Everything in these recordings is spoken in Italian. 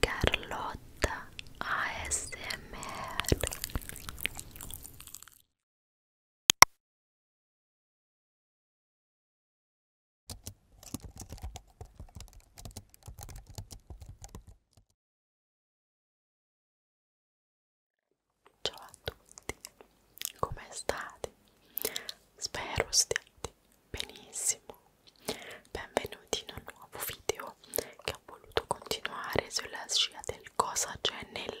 Carlotta ASMR Ciao a tutti, come state? Spero stiate Benissimo, benvenuti in un nuovo video che ho voluto continuare sulla scia del cosa c'è nel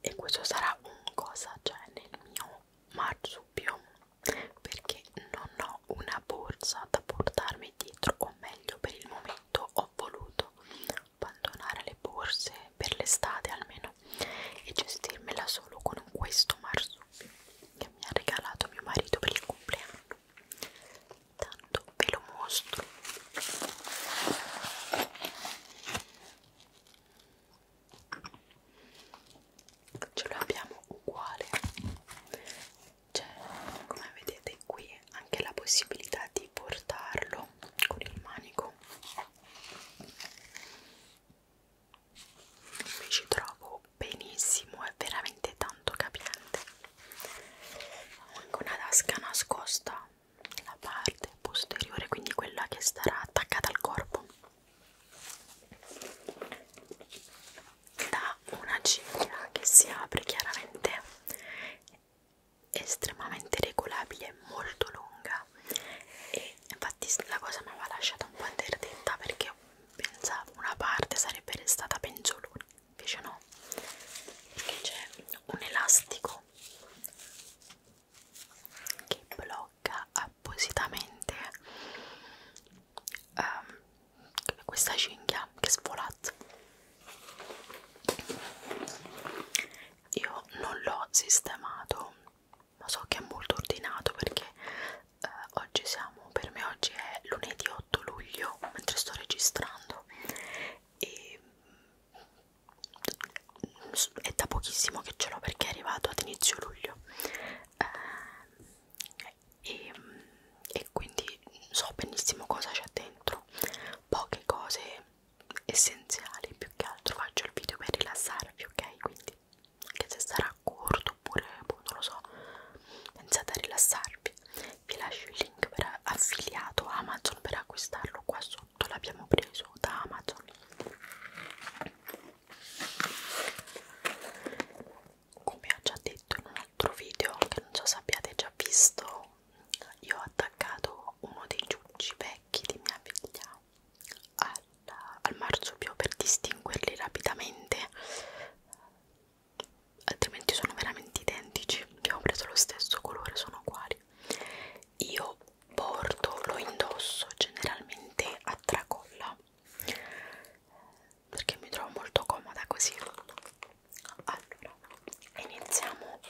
e questo sarà un cosa c'è nel mio marsupio perché non ho una borsa da portarmi dietro o meglio per il momento ho voluto abbandonare le borse per l'estate almeno e gestirmela solo con questo marsupio che mi ha regalato mio marito per il compleanno tanto ve lo mostro ce l'abbiamo uguale c'è cioè, come vedete qui anche la possibilità di portarlo con il manico mi ci trovo benissimo, è veramente tanto capiente. Ho anche una tasca nascosta nella parte posteriore, quindi quella che starà attaccata al corpo. Da una ciglia che si apre chiaramente estremamente regolabile, molto lunga raga e infatti la cosa mi aveva lasciata un po' interdetta perché pensavo una parte sarebbe restata penzolone invece no perché c'è un elastico che blocca appositamente um, questa cinghia che svolazza io non l'ho sistemato ma so che è molto ordinato perché eh, oggi siamo, per me oggi è lunedì 8 luglio mentre sto registrando e mm, è da pochissimo che ce l'ho perché è arrivato ad inizio luglio eh, e, mm, e quindi so benissimo cosa c'è dentro poche cose essenziali più che altro faccio il video per rilassarvi ok quindi anche se sarà corto oppure boh, non lo so pensate a rilassarvi vi lascio il link per affiliato Amazon per acquistarlo qua sotto l'abbiamo preso da Amazon come ho già detto in un altro video che non so se abbiate già visto io ho attaccato uno dei giucci vecchi di mia figlia al al marsupio per distinguerli rapidamente altrimenti sono veramente identici abbiamo preso lo stesso colore sono uguali io porto lo indosso generalmente a tracolla perché mi trovo molto comoda così allora iniziamo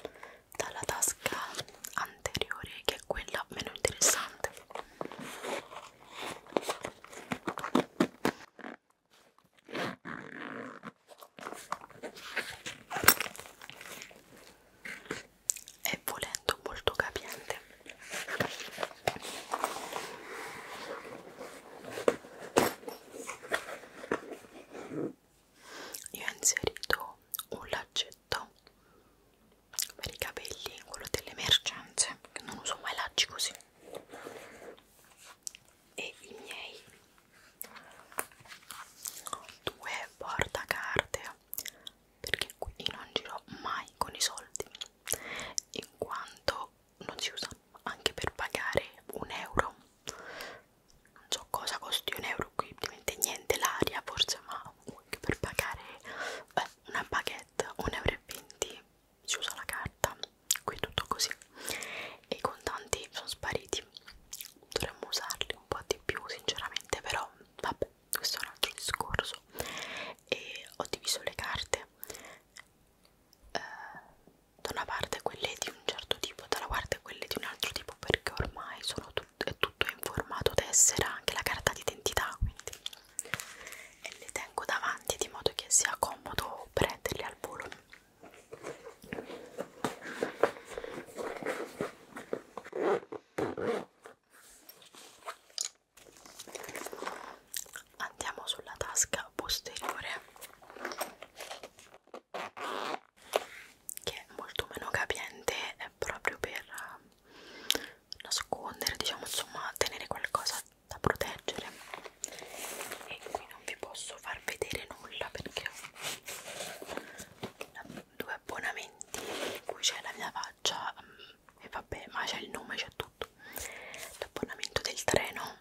dalla tasca anteriore che quella meno interessante e volendo molto capiente io ho inserito un laccio dolcetto per i capelli, quello delle emergenze, che non uso mai lacci così e i miei due portacarte perché qui non giro mai con i soldi in quanto non si usa anche per pagare un euro non so cosa costi un euro qui ovviamente niente l'aria forse ma un anche per pagare beh, una baguette 1,20 euro si usa la carta qui tutto così e i contanti sono spariti dovremmo usarli un po' di più sinceramente però vabbè questo è un altro discorso e ho diviso le carte eh, da una parte quelle di un certo tipo dalla parte quelle di un altro tipo perché ormai sono tut è tutto in formato tessera, anche la carta d'identità, quindi e le tengo davanti di modo che sia comodo prenderle al volo. Andiamo sulla tasca posteriore che è molto meno capiente, è proprio per nascondere, diciamo insomma tenere qualcosa da proteggere e qui non vi posso far vedere nulla perché ho due abbonamenti in cui c'è la mia faccia mm, e vabbè ma c'è il nome, c'è tutto l'abbonamento del treno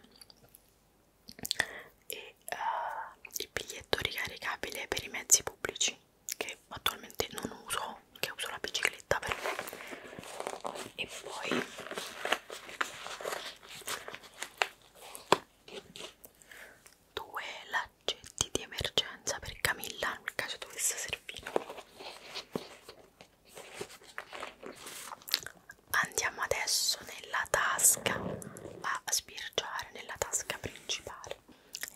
e uh, il biglietto ricaricabile per i mezzi pubblici che attualmente non uso che uso la bicicletta per... e poi due laccetti di emergenza per Camilla nel caso dovesse servire andiamo adesso nella tasca a sbirciare nella tasca principale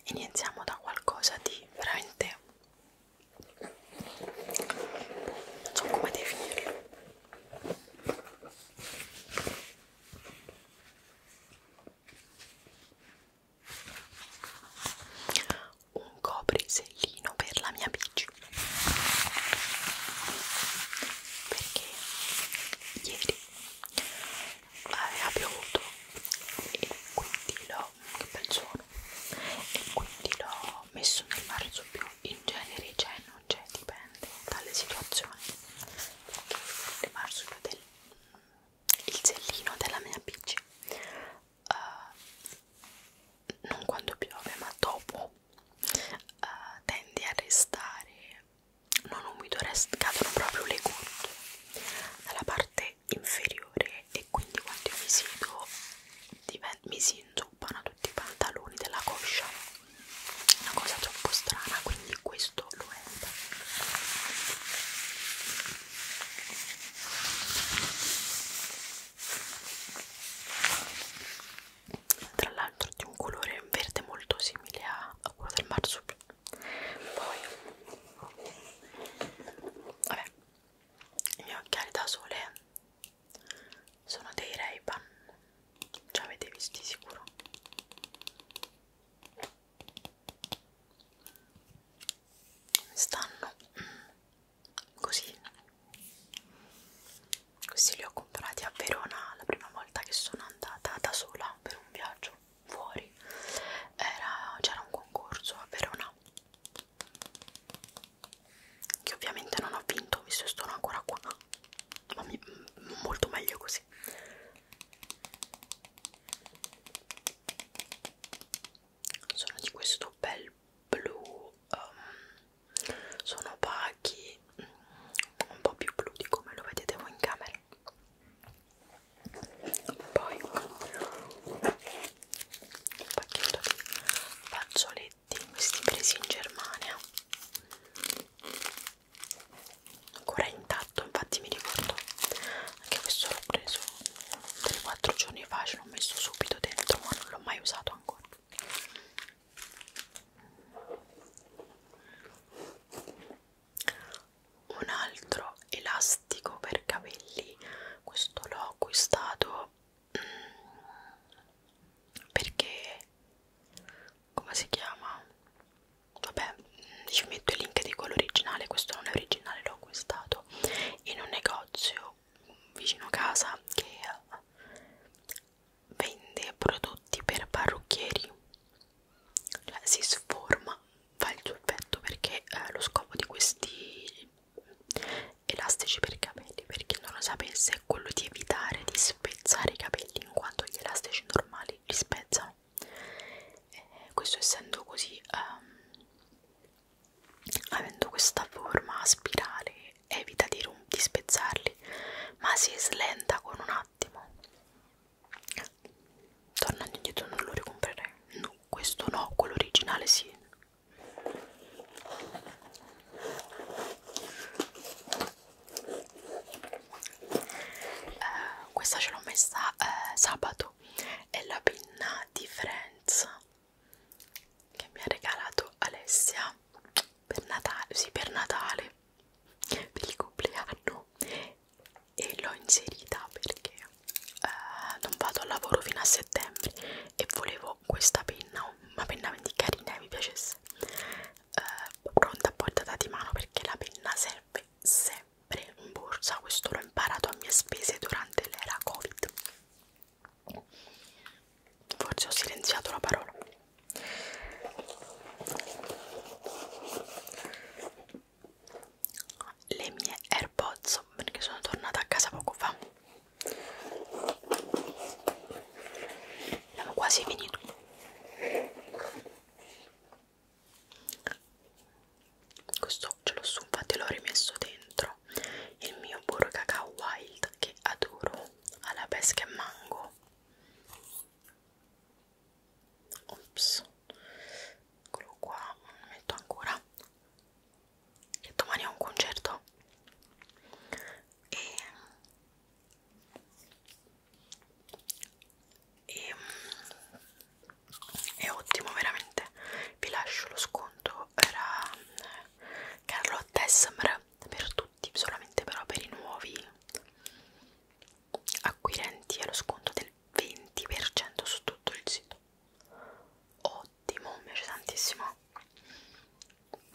iniziamo da qualcosa di veramente non so come definirlo un coprisellino per la mia bici perché ieri eh, ha piovuto e quindi l'ho e quindi l'ho messo nel marciapiù in genere c'è cioè non c'è dipende dalle situazioni il marciapiù del il sellino della mia bici uh, eh, non quando piove ma dopo uh, eh, tende a restare non umido, cadono proprio le gocce dalla parte inferiore e quindi quando io mi siedo mi si inzuppano tutti i pantaloni della coscia una cosa troppo strana quindi questo lo è tra l'altro di un colore verde molto simile a quello del marsupiale poi vabbè i miei occhiali da sole sono dei Ray-Ban già avete visti sicuro stanno mm, così questi li ho comprati a Verona la prima volta che sono andata da sola per un viaggio fuori c'era un concorso a Verona che ovviamente non ho vinto visto che sono ancora qua ma mi, molto meglio così sono di questo bel blu um, sono opachi mm, un po' più blu di come lo vedete voi in camera poi un pacchetto di fazzoletti questi presi in Germania ancora intatto infatti mi ricordo anche questo l'ho preso 3-4 giorni fa ce l'ho messo subito dentro ma non l'ho mai usato ancora un altro elastico per capelli questo l'ho acquistato mm, perché come si chiama vabbè ci metto il link di quello originale questo non è originale l'ho acquistato in un negozio vicino a casa che vende prodotti per parrucchieri cioè, si sforma, fa il giubbetto perché eh, lo scopo di questi elastici per i capelli, per chi non lo sapesse, è quello di evitare di spezzare i capelli in quanto gli elastici normali li spezzano. E eh, questo essendo così, um, avendo questa forma a spirale, evita di, di spezzarli, ma si slenta con un attimo tornando indietro non lo ricomprerei no, questo no, quello originale sì eh, questa ce l'ho messa eh, sabato è la pinna di Friends che mi ha regalato Alessia per Natale, sì per Natale per il compleanno e l'ho inserita perché eh, non vado al lavoro fino a settembre e volevo questa penna, una penna carina e mi piacesse eh, pronta a portata di mano perché la penna serve sempre in borsa questo l'ho imparato a mie spese durante l'era covid forse ho silenziato la parola le mie AirPods perché sono tornata a casa poco fa. Abbiamo quasi finito. Questo ce l'ho su, infatti l'ho rimesso dentro il mio burro cacao wild che adoro alla pesca e mango ops eccolo qua non metto ancora che domani ho un concerto e, e è ottimo veramente vi lascio lo sconto era Carlotta Esmer per tutti solamente però per i nuovi acquirenti allo sconto del 20% su tutto il sito ottimo mi piace tantissimo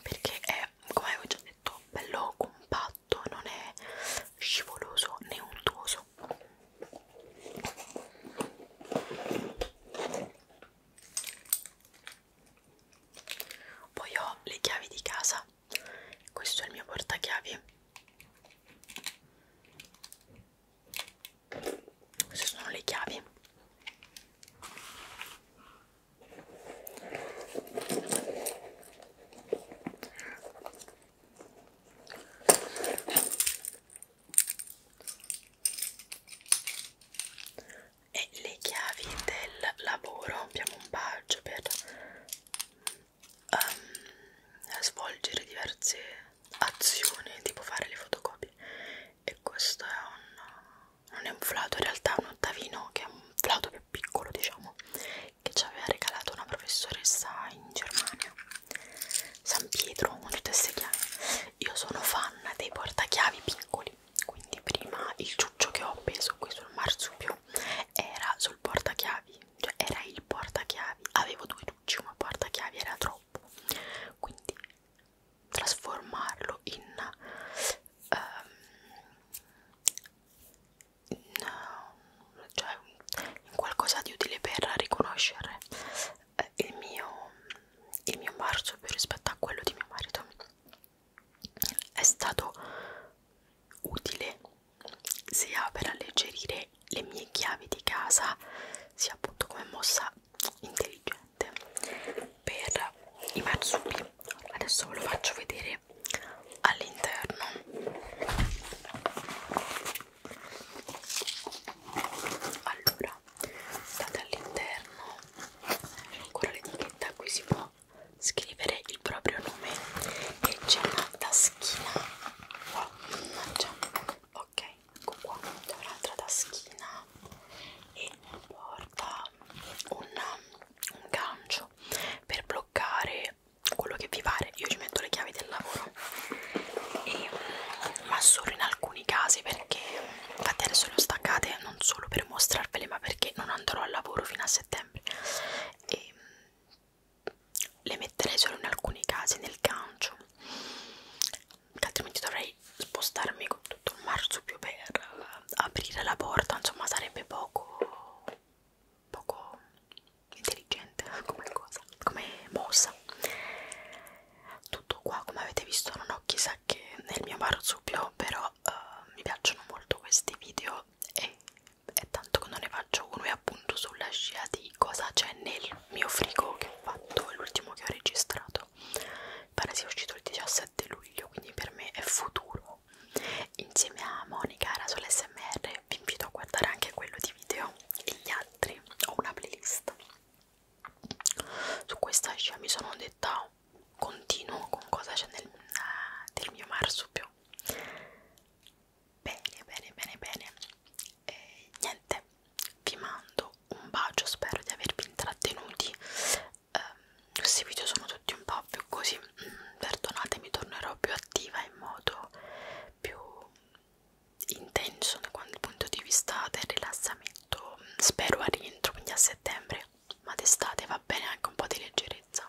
perché è come avevo già detto bello compatto non è scivoloso né untuoso poi ho le chiavi di casa questo è il mio portachiavi queste sono le chiavi e le chiavi del lavoro abbiamo un badge per um, svolgere diverse azioni, tipo fare le fotocopie. E questo è un, non è un flauto, in realtà è un ottavino che è un flauto più piccolo, diciamo, che ci aveva regalato una professoressa in Germania, San Pietro, con tutte queste chiavi. Io sono fan dei portachiavi piccoli, quindi prima il ciuccio che ho appeso qui sul marsupio era sul portachiavi cioè era il portachiavi, avevo due ducci, ma portachiavi era troppo, quindi trasformarlo in, um, in, cioè, in qualcosa di utile per riconoscere eh, il mio, il mio marsupio rispetto a quello di mio marito è stato utile sia per alleggerire le mie chiavi di casa sia appunto come mossa intelligente per i marsupi adesso ve lo faccio vedere all'interno allora state all'interno ancora l'etichetta qui si può scrivere il proprio nome e c'è una taschina qua, mannaggia, ok, ecco qua, c'è un'altra taschina e porta un, un gancio per bloccare quello che vi pare, io ci metto le chiavi del lavoro e, mm, ma solo in alcuni casi perché infatti adesso le ho staccate non solo per mostrarvele ma perché non andrò al lavoro fino a settembre e mm, le metterei solo in alcuni casi nel gancio che altrimenti dovrei spostarmi con tutto il marsupio per eh, aprire la porta insomma sarebbe poco poco intelligente come cosa come mossa tutto qua come avete visto non ho chissà che nel mio marsupio però uh, mi piacciono molto questi video e è tanto che non ne faccio uno e appunto sulla scia di cosa c'è nel mio frigo che ho fatto, l'ultimo che ho registrato pare sia uscito il 17 luglio, quindi per me è futuro insieme a Monica era sull'SMR vi invito a guardare anche quello di video e gli altri, ho una playlist su questa scia mi sono detta continuo con cosa c'è nel, nel ah, mio marsupio bene bene bene bene e niente vi mando un bacio spero di avervi intrattenuti eh, questi video sono tutti un po' più così mm, perdonatemi tornerò più attiva in modo più intenso dal punto di vista del rilassamento spero a rientro quindi a settembre ma d'estate va bene anche un po' di leggerezza